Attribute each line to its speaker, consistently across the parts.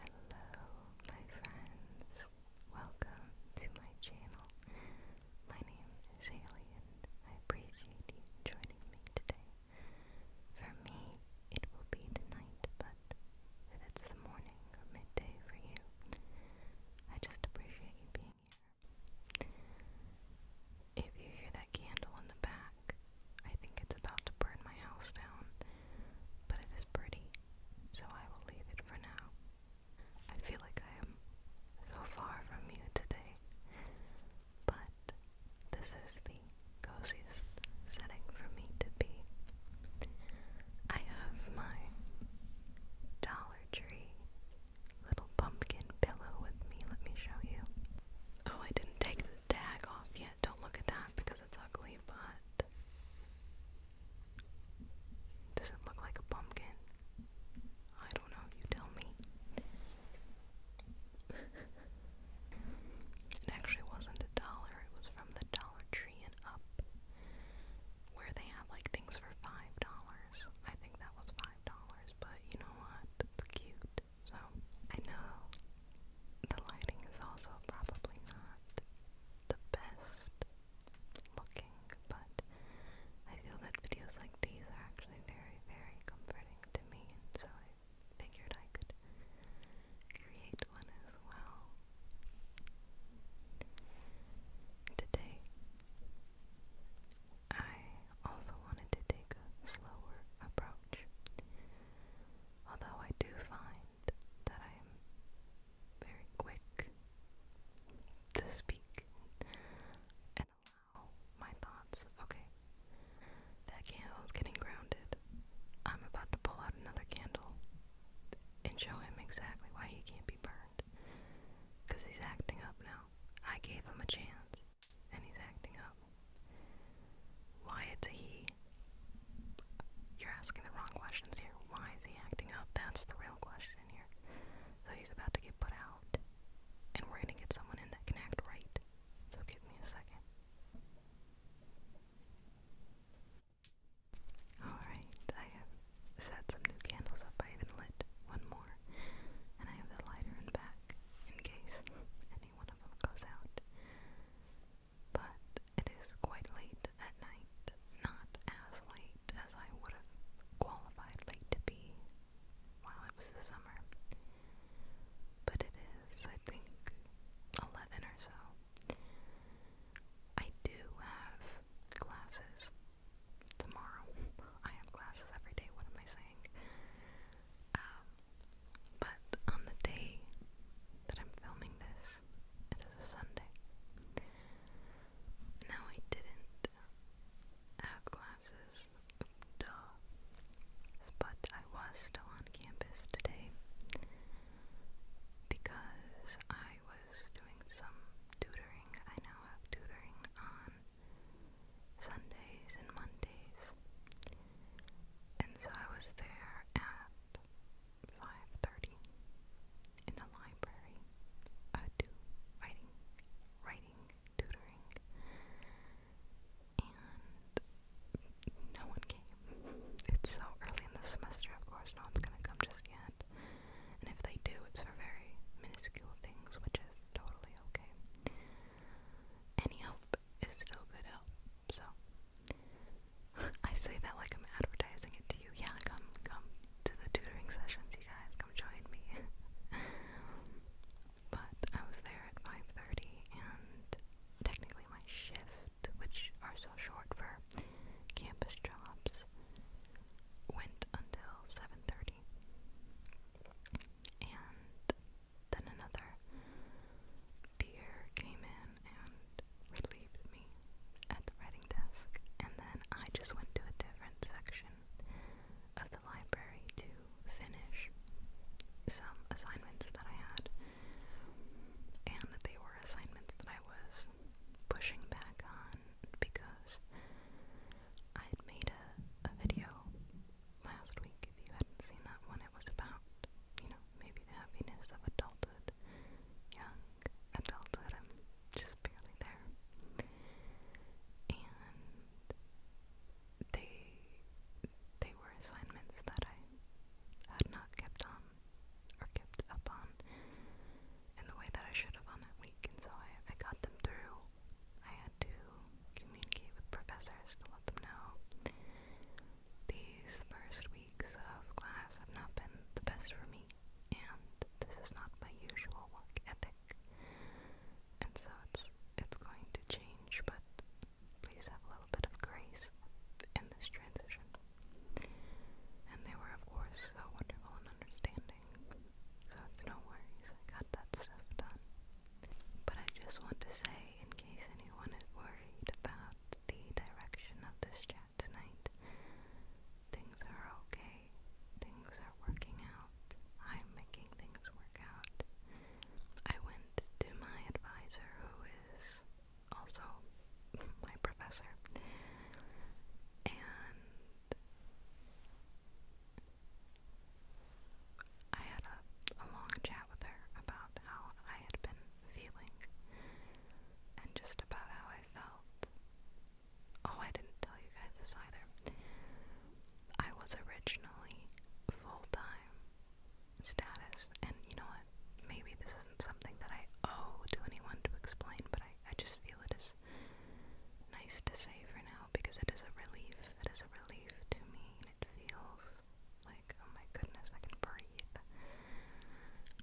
Speaker 1: Hello, my friends. Welcome to my channel. My name is Haley, I appreciate you joining me today. For me, it will be the night, but if it's the morning or midday for you, I just appreciate you being here. If you hear that candle in the back, I think it's about to burn my house down, but it is pretty, so I will leave it for now. I feel like I am so far from you today, but this is the coziest setting for me to be. I have my Dollar Tree little pumpkin pillow with me. Let me show you. Oh, I didn't take tag off yet. Don't look at that because it's ugly, but does it look like a pumpkin? I don't know, you tell me. it actually wasn't a dollar, it was from the Dollar Tree and up. Where they have like things for five dollars. I think that was five dollars, but you know what? It's cute. So I know the lighting is also probably not the best looking, but I feel that videos like these are actually very, very comforting to me, and so I figured I could create one as well. Today, I also wanted to take a slower approach, although I do find that I am very quick to speak and allow my thoughts. Okay, that candle is getting grounded. I'm about to pull out another candle and show him exactly why he can't be burned. Because he's acting up now. I gave him a chance, and he's acting up. Why it's he? You're asking the wrong questions here. Why is he acting up? That's the real question here. So he's about to get put out, and we're gonna get someone in that can act right. So give me a second. Alright, I have set some new candles up. I even lit one more. And I have the lighter in back in case any one of them goes out but it is quite late at night. Not as late as I would have qualified late to be while it was the summer. But it is, I think, 11 or so. I do have glasses tomorrow. I have glasses every day, what am I saying? Um, but on the day that I'm filming this, it is a Sunday. No, I didn't have classes, But I was still on campus today because I was doing some tutoring. I now have tutoring on Sundays and Mondays. And so I was there at 5.30 in the library. I do writing, writing, tutoring, and no one came. It's so early in the semester, of course, no one's gonna come just yet. And if they do, it's for very minuscule things, which is totally okay. Any help is still good help, so I say that like I'm advertising it to you. Yeah, come, come to the tutoring sessions, you guys. Come join me. but I was there at 5:30, and technically my shift, which are so short for campus jobs, went until 7:30, and then another Pierre came in and relieved me at the writing desk, and then I just went to a different section of the library to finish some assignments that I had, and they were assignments that I was pushing back on because I had made a, a video last week. If you hadn't seen that one, it was about, you know, maybe the happiness of adulthood, young adulthood, I'm just barely there. And they they were assignments that I had not kept on or kept up on in the way that I should have on that week, and so I, I got them through. I had to communicate with professors to let them know these first weeks of class have not been the best for me, and this is not my usual work ethic. And so it's it's going to change, but please have a little bit of grace in this transition. And they were, of course, so wonderful and understanding. So no worries, got that stuff done. But I just want to say, in case anyone is worried about the direction of this chapter, tonight. Things are okay. Things are working out. I'm making things work out. I went to my advisor, who is also my professor, and I had a, a long chat with her about how I had been feeling and just about how I felt. Oh, I didn't tell you guys this either. I was originally full time status, and you know what? Maybe this isn't something that I owe to anyone to explain, but I, I just feel it is nice to say for now because it is a relief. It is a relief to me, it feels like, oh my goodness, I can breathe.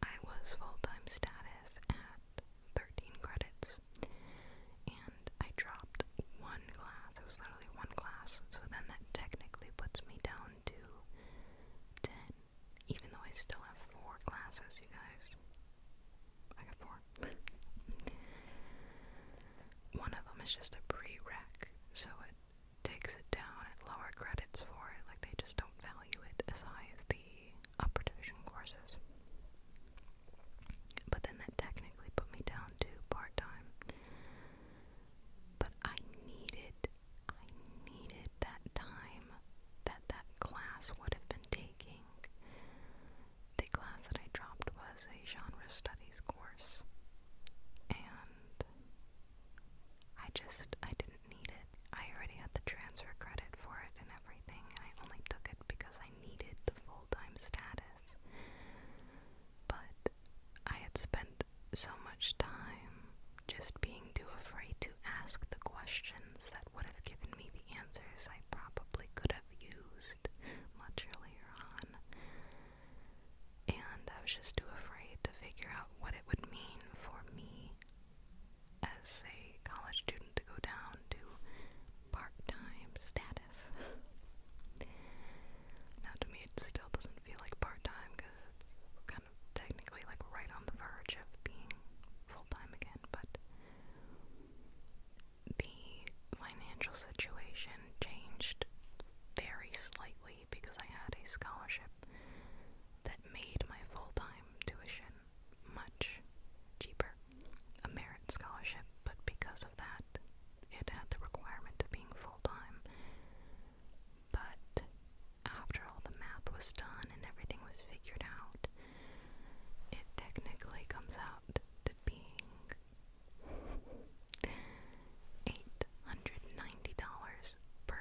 Speaker 1: I was full time status at 13 credits and I dropped one class. It was literally one class, so then that technically puts me down to 10, even though I still have four classes, you guys. I got four. one of them is just a prereq, so it takes it down at lower credits for it. Like they just don't value it as high as the upper division courses. But then that technically put me down to part time. But I needed, I needed that time that that class would have been taking. The class that I dropped was a genre studies course. And I just, I didn't didn't need it. I already had the transfer credit for it and everything, and I only took it because I needed the full time status. But I had spent so much time just being too afraid to ask the questions that would have given me the answers I probably could have used much earlier on. And I was just too afraid to figure out what it would mean for me as a college student to go down to part time status. now, to me, it still doesn't feel like part time because it's kind of technically like right on the verge of being full time again, but the financial situation changed very slightly because I had a scholarship that made my full-time tuition much cheaper. A merit scholarship, but because of that, it had the requirement of being full-time. But after all the math was done and everything was figured out, it technically comes out to being $890 per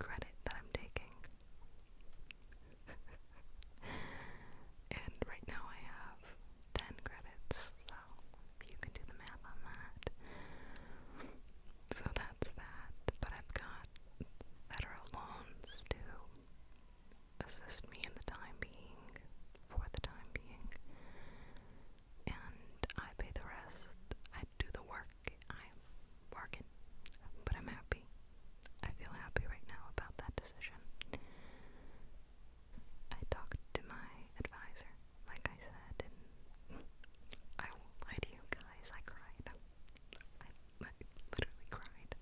Speaker 1: credit that I'm taking. and right now I have 10 credits, so you can do the math on that. So that's that, but I've got federal loans to assist me in the time being, for the time being, and I pay the rest. I do the work I'm working, but I'm happy. I feel happy right now about that decision. I talked to my advisor, like I said, and I won't to you guys, I cried. I literally cried.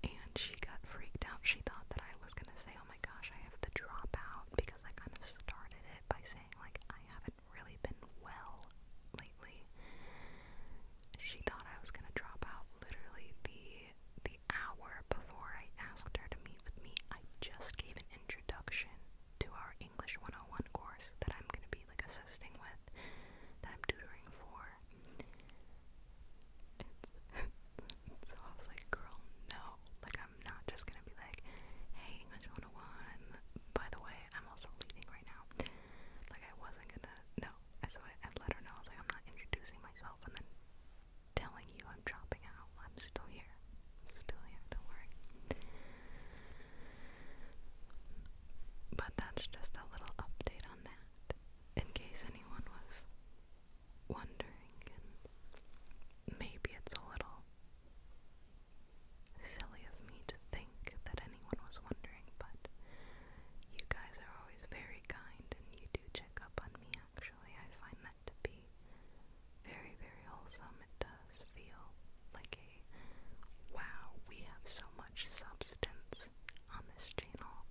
Speaker 1: And she got freaked out. She thought that I was gonna say, oh my gosh, I have to drop out because I kind of started it by saying, like, I haven't really been well lately. She thought I was gonna drop out literally the the hour before I asked her to meet with me. I just gave an introduction to our English 101 course that I'm gonna be like assisting with, that I'm tutoring for. so I was like, girl, no. Like I'm not just gonna be like, hey English 101, by the way, I'm also leaving now. Like I wasn't gonna no. So I, let her know. I was like, I'm not introducing myself and then telling you I'm dropping out. I'm still here. still here, don't But that's just a little update on that. In case anyone was wondering maybe it's a little silly of me to think that anyone was wondering, but you guys are always very kind and you do check up on me actually. I find that to be very, very wholesome. It does feel like a wow, we have so much substance on this channel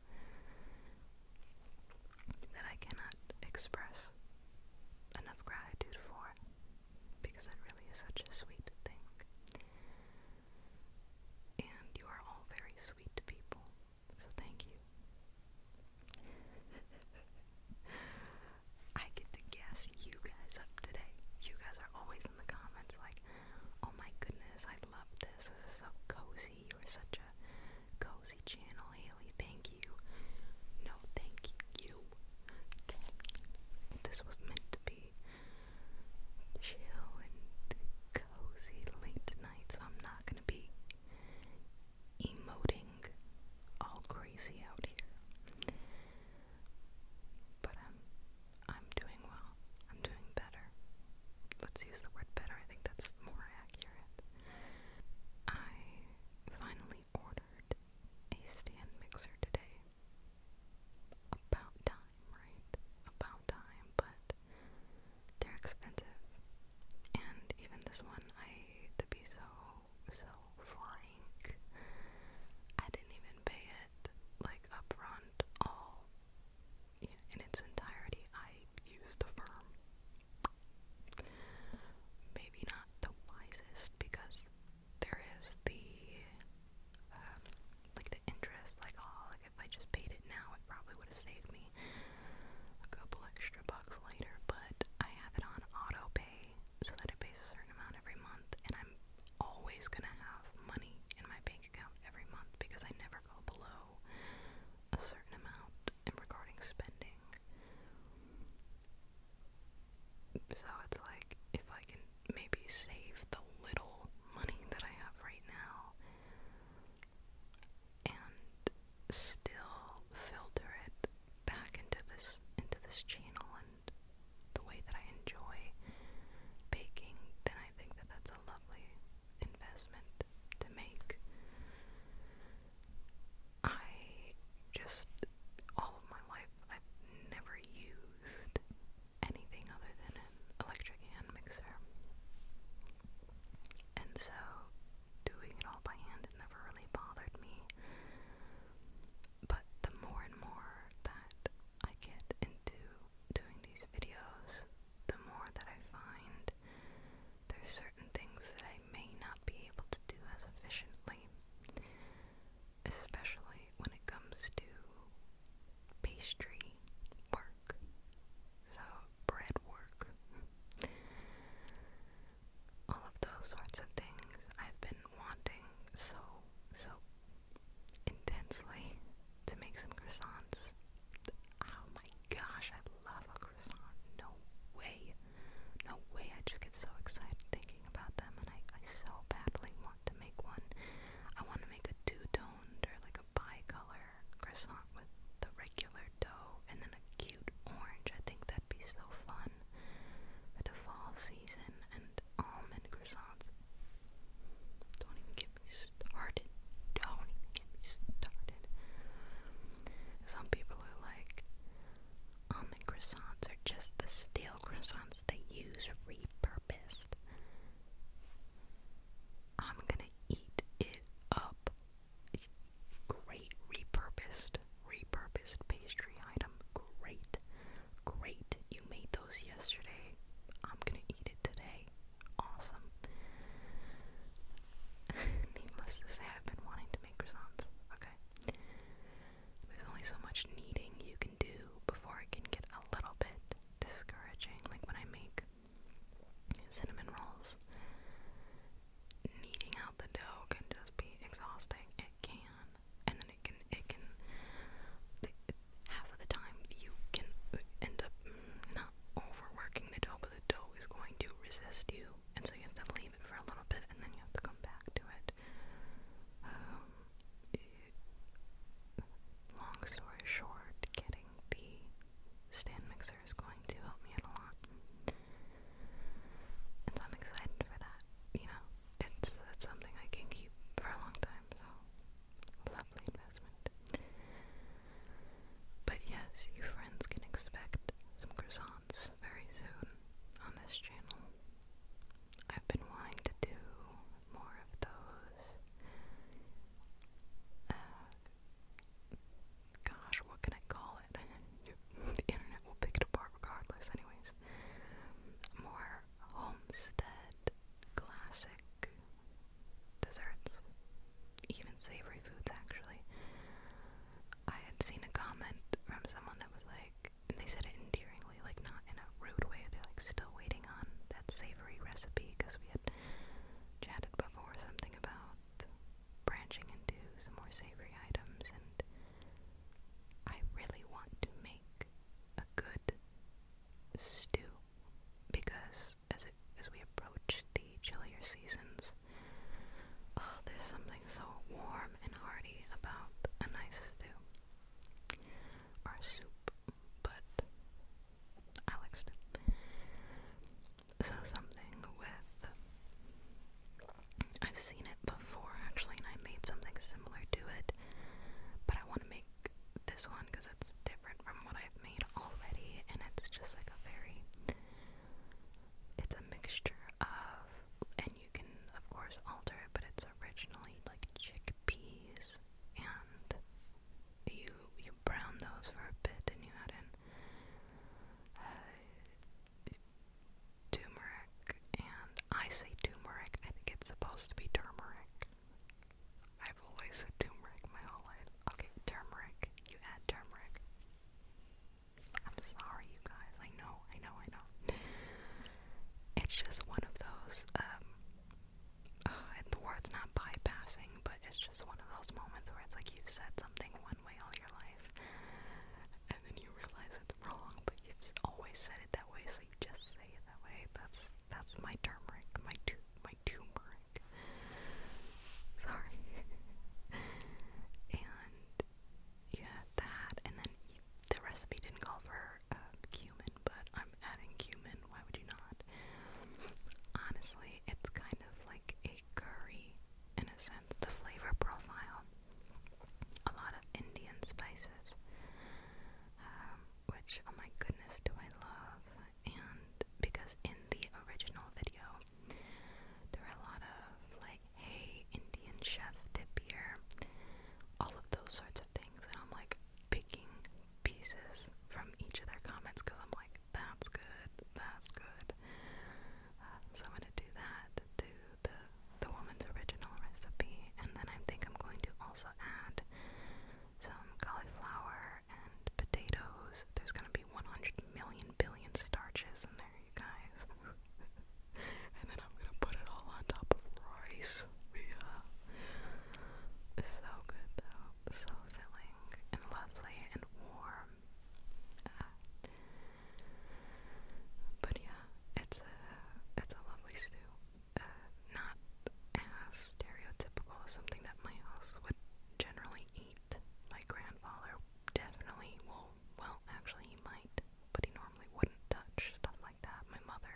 Speaker 1: that I cannot express enough gratitude for because it really is such a sweet thing. And you are all very sweet people, so thank you. I get to guess you guys up today. You guys are always in the comments like, oh my goodness, I love this. This is so cozy. You are such a cozy channel, Haley. Thank you. No, Thank you. This was meant to be chill and cozy late tonight, so I'm not gonna be emoting all crazy out here. But I'm I'm doing well. I'm doing better. Let's use the word better. I think that's more accurate. I finally ordered a stand mixer today about time, right? About time, but they're expensive. And even this one, I to be so, so frank, I didn't even pay it like upfront all in its entirety. I used a firm. Maybe not the wisest because there is the um, like the interest, like oh, like if I just paid it now, it probably would have saved me a couple extra bucks later. But I have it on auto pay so that it pays a certain amount every month, and I'm always gonna have money in my bank account every month because I never go below a certain amount in regarding spending. So it's like if I can maybe save the little money that I have right now and still filter it back into this into this channel and the way that I enjoy baking, then I think that that's a lovely investment to make. I just all of my life I've never used anything other than an electric hand mixer. And so doing it all by hand never really bothered me. But the more and more that I get into doing these videos, the more that I find there's certain things that I may not be able to do as efficiently. Especially when it comes to pastry work, so bread work, all of those sorts of things I've been wanting so, so intensely to make some croissants. Oh my gosh, I love a croissant. No way. No way. I just get so excited thinking about them and I, I so badly want to make one. I want to make a two-toned or like a bi-color croissant with the regular dough and then a cute orange. I think that'd be so fun for the fall season and almond croissants. Don't even get me started. Don't even get started. Some people are like, almond croissants are just the stale croissants they use repurposed therapist. I'm gonna eat it up. Great repurposed, repurposed pastry item. Great, great. You made those yesterday. I'm gonna eat it today. Awesome. Needless to say, I've been wanting to make croissants. Okay. There's only so much kneading you can do before it can get a little bit discouraging, like when I make cinnamon rolls. Kneading out the dough can just be exhausting. It can, and then it can, it can. The, half of the time, you can end up not overworking the dough, but the dough is going to resist you, and so you have to leave it for a little bit, and then you have to come back to it. Um, it long story short, getting the stand mixer is going to help me out a lot. And so I'm excited for that. You know, it's it's something I can keep for a long time, so love the investment. But yes, you friends can expect some croissants very soon on this channel. I've been wanting to do more of those. Uh, gosh, what can I call it? the internet will pick it apart regardless, anyways. More homestead classic desserts, even savory foods, actually. I had seen a comment from someone that was like, and they said it endearingly sparingly, like not in a rude way. They're like still waiting on that savory recipe because we had chatted before something about branching into some more savory items, and I really want to make a good stew because as it as we approach the chillier seasons, oh, there's something so warm and hearty about a nice stew. Our soup but I liked it. So something with I've seen it before actually, and I made something similar to it, but I want to make this one because it's different from what I've made already, and it's just like a very it's a mixture of, and you can of course alter it, but it's originally like chickpeas and you you brown those for a bit and you add in uh, turmeric and I say turmeric I think it's supposed to be turmeric I've always said turmeric my whole life okay turmeric you add turmeric I'm sorry you guys I know I know I know it's just one of those um, uh, and the word's not bypassing, but it's just one of those moments where it's like you've said something one way all your life, and then you realize it's wrong, but you've always said it that way, so you just say it that way. That's that's my turmeric, my tu my turmeric. Sorry. and yeah, that, and then you, the recipe didn't call for cumin, but I'm adding cumin. Why would you not? Honestly, it's kind of like a curry in a sense. The flavor profile, a lot of Indian spices, um, which oh my goodness, do I love! And because in the original video, there are a lot of like, hey, Indian chef tip here, all of those sorts of things, and I'm like, picking pieces from each of their comments because I'm like, that's good, that's good. Uh, so I'm gonna do that to the the woman's original recipe, and then I think I'm going to also add some cauliflower and potatoes. There's gonna be 100 million billion starches in there, you guys. and then I'm gonna put it all on top of rice box yeah it's so good though so filling and lovely and warm uh, but yeah it's a it's a lovely stew uh, not as stereotypical as something that my house would generally eat my grandfather definitely will well actually he might but he normally wouldn't touch stuff like that my mother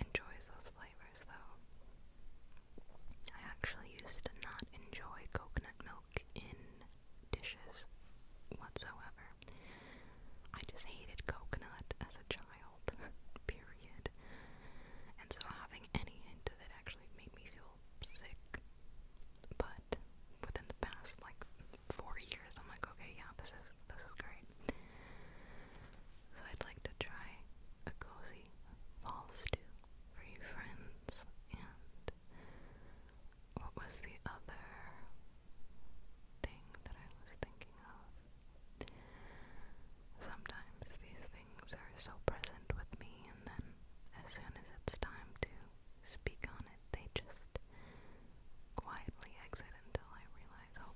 Speaker 1: enjoys those flavors though I actually used to not enjoy coconut milk in dishes whatsoever. I just hated coconut as a child, period. And so having any hint of it actually made me feel sick. But within the past like four years, I'm like, okay, yeah, this is this is great. So I'd like to try a cozy fall stew for you friends. And what was the other thing that I was thinking of? Sometimes these things are so present with me, and then as soon as it's time to speak on it, they just quietly exit until I realize. Oh,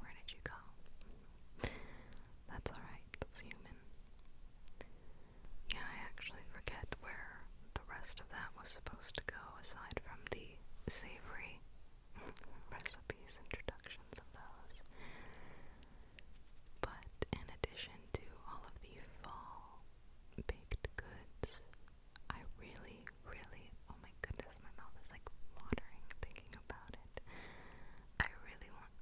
Speaker 1: where did you go? That's alright, that's human. Yeah, I actually forget where the rest of that was supposed to go aside from the savory recipes, introductions of those. But in addition to all of the fall baked goods, I really, really, oh my goodness, my mouth is like watering thinking about it. I really want.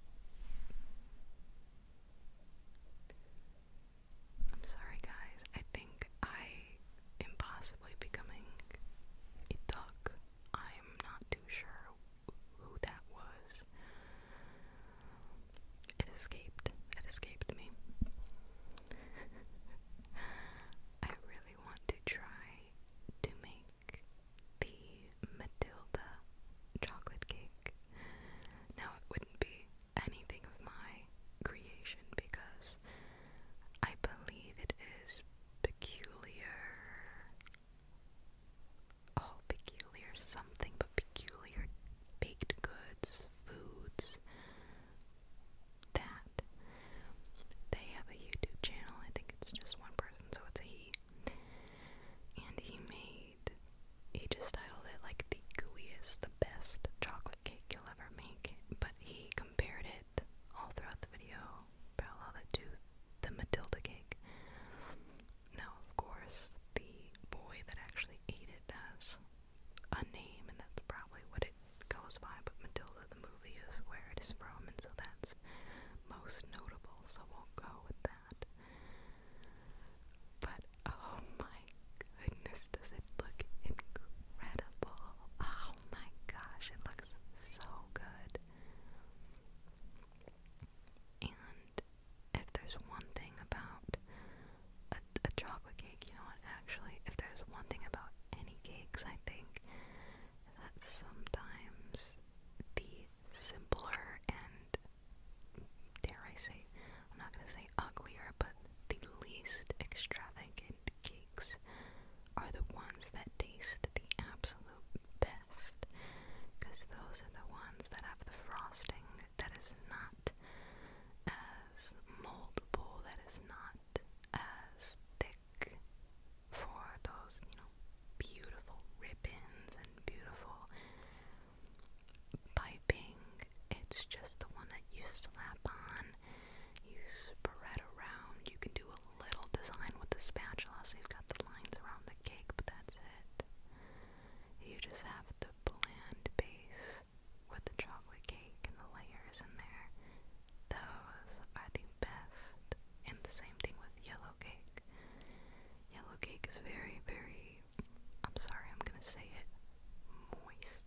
Speaker 1: I'm sorry, guys. I think I am possibly becoming a duck. I'm not too sure who that was. It escaped. It escaped me. I really want to try to make the Matilda chocolate cake. Now, it wouldn't be anything of my creation because I believe it is peculiar. Oh, peculiar something, but peculiar baked goods, foods. That. They have a YouTube channel. I think it's just one person, so it's a he. And he made, he just titled it like the gooiest, the best chocolate cake you'll ever make. But he compared it all throughout the video, parallel to the Matilda cake. Now, of course, the boy that actually ate it has a name, and that's probably what it goes by, but Matilda the movie is where it is from, and so that's most notable, so we'll go with that. But oh my goodness, does it look incredible! Oh my gosh, it looks so good. And if there's one thing about a, chocolate cake, you know what? Actually, if there's one thing about any cakes, I think that sometimes the simpler and, dare I say, I'm not gonna say uglier, but the least extravagant cakes are the ones that taste the absolute best. Because those are the ones that have the frosting that is not as moldable, that is not as thick, for those, you know, beautiful ribbons and beautiful piping. It's just the one that you slap on, you spread around. You can do a little design with the spatula so you've got the lines around the cake, but that's it. You just have the bland base with the chocolate cake and the layers in there. Those are the best and the same thing with yellow cake. Yellow cake is very, very, I'm sorry, I'm gonna say it, moist.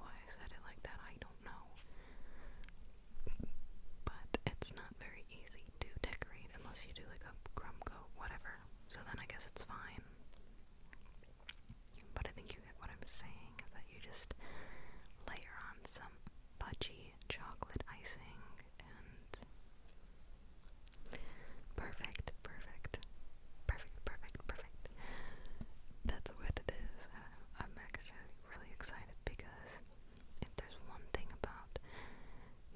Speaker 1: Why I said it like that, I don't know. But it's not very easy to decorate unless you do like a crumb coat, whatever. So then I guess it's fine. But I think you get what I'm saying that you just layer on some fudgy chocolate icing and perfect, perfect, perfect, perfect, perfect. That's what it is. I'm actually really excited because if there's one thing about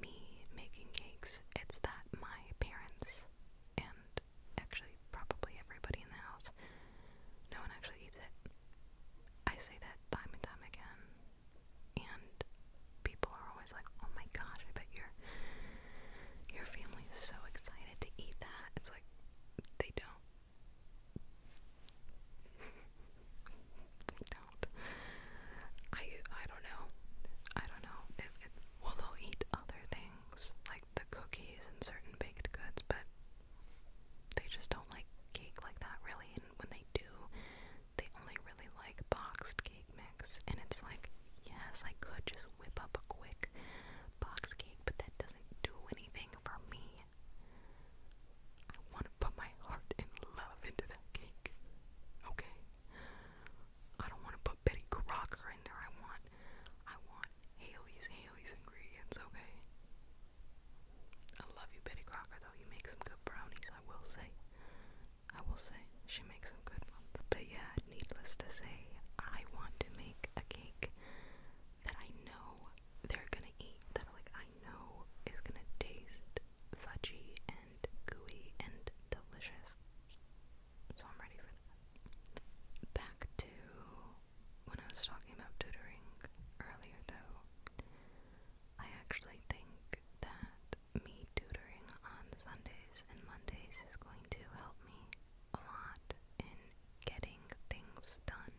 Speaker 1: me making cakes, it's that my parents and actually probably everybody in the house, no one actually eats it. I say that time and time again. And people are always like, "Oh my gosh, I bet your your family is so excited to eat that." It's like they don't. they don't. I I don't know. I don't know. It, it, well, they'll eat other things like the cookies and certain baked goods, but they just don't like cake like that really when they do, they only really like boxed cake mix. And it's like, yes, I could just whip up a quick box cake, but that doesn't do anything for me. I want to put my heart and love into that cake. Okay? I don't want to put Betty Crocker in there. I want, I want Haley's Haley's ingredients. Okay? I love you, Betty Crocker, though. You make some good brownies, I will say. I will say, she makes some good ones. But yeah, needless to say, I want to make a cake that I know they're gonna eat, that like I know is gonna taste fudgy and gooey and delicious. So I'm ready for that. Back to when I was talking about tutoring earlier though, I actually think that me tutoring on Sundays and Mondays is going to help me a lot in getting things done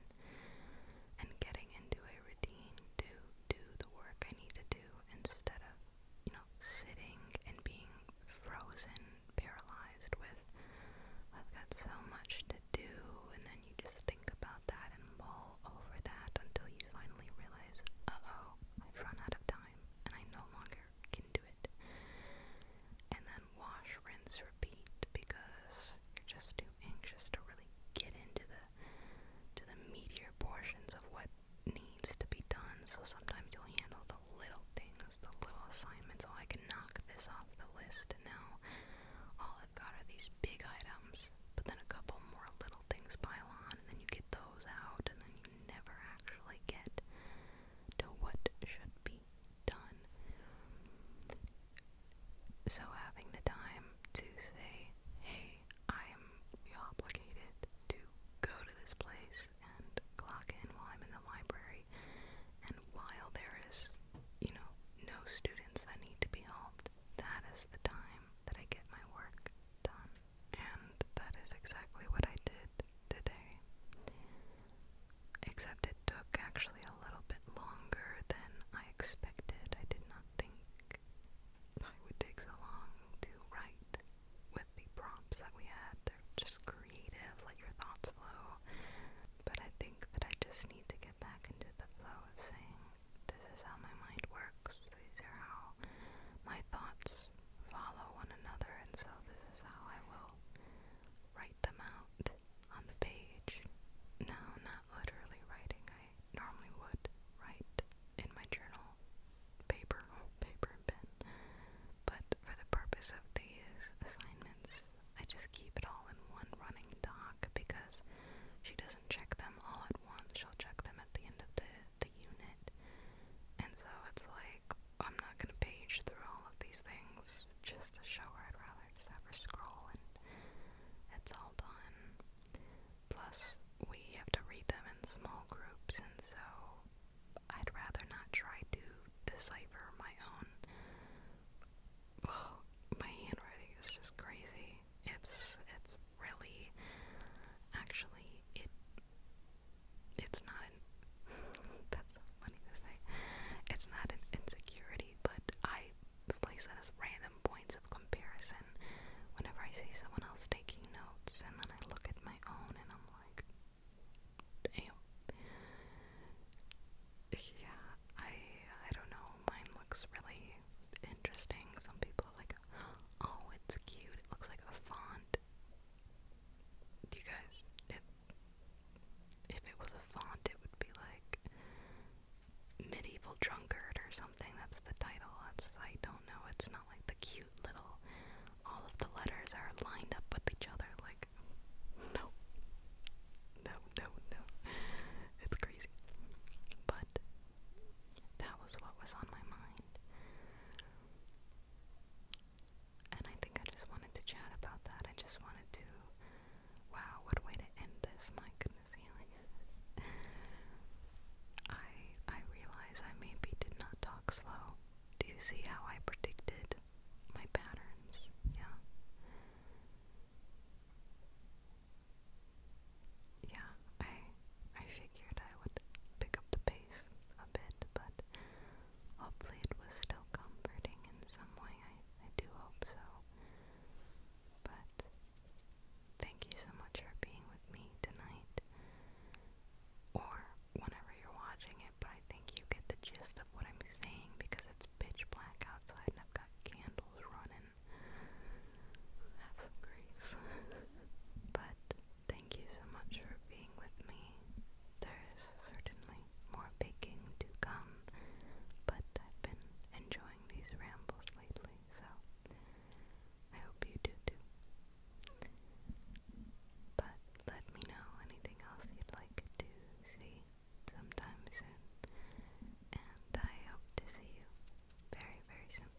Speaker 1: and getting into a routine to do the work I need to do instead of, you know, sitting and being frozen, paralyzed with, I've got so much to do, and then you just think about that and mull over that until you finally realize, uh oh, I've run out of time and I no longer can do it. And then wash, rinse, repeat because you're just too anxious to really get into the to the meatier portions of what needs to be done. So sometimes you'll handle the little things, the little assignments. so oh, I can knock this off the list and now all I've got are these big items things, but then a couple more little things pile on, and then you get those out, and then you never actually get to what should be done. So, having the time to say, hey, I am obligated to go to this place and clock in while I'm in the library, and while there is, you know, no students that need to be helped, that is the time that I get my work done. And that is exactly what I did today. Except it took actually a little bit longer than I expected. I did not think I would take so long to write with the prompts that we had. They're just creative, let your thoughts flow. But I think that I just need to get back into the flow of saying this is how my mind works. These are how my thoughts follow one another, and so this is how I will write them out on the page. Now, not literally writing, I normally would write in my journal, paper, paper and pen. But for the purpose of these assignments, I just keep it all in one running doc because she doesn't check them all at once, she'll check them at the end of the, the unit. And so it's like, I'm not gonna page through all of these things just to show her. I'd rather just have her scroll and it's all done. Plus, we have to read them in small groups, and so I'd rather not try to decipher my own. Oh, my handwriting is just crazy. It's it's really actually it it's not an that's so funny to say. It's not an insecurity, but I place that as random points of comparison whenever I see someone else taking notes and then I look at my own and I'm like yeah, I I don't know, mine looks really interesting. Some people are like, oh, it's cute. It looks like a font. you guys, if, if it was a font, it would be like Medieval Drunkard or something. That's the title. I don't know. It's not like the cute little, all of the letters are lined up with each other. Like, no. No, no, no. It's crazy. But that was what was on my mind. And I think I just wanted to chat about that. I just wanted to. Wow, what a way to end this! My goodness, healing. I I realize I maybe did not talk slow. Do you see how I predicted my patterns? Yeah yeah, I I figured I would pick up the pace a bit, but hopefully it was still comforting in some way. I I do hope so. But thank you so much for being with me tonight. Or whenever you're watching it, but I think you get the gist of what I'm saying because it's pitch black outside and I've got candles running have some grace. but thank you so much for being with me. There is certainly more baking to come, but I've been enjoying these rambles lately, so I hope you do too. But let me know anything else you'd like to see sometime soon, and I hope to see you very, very soon.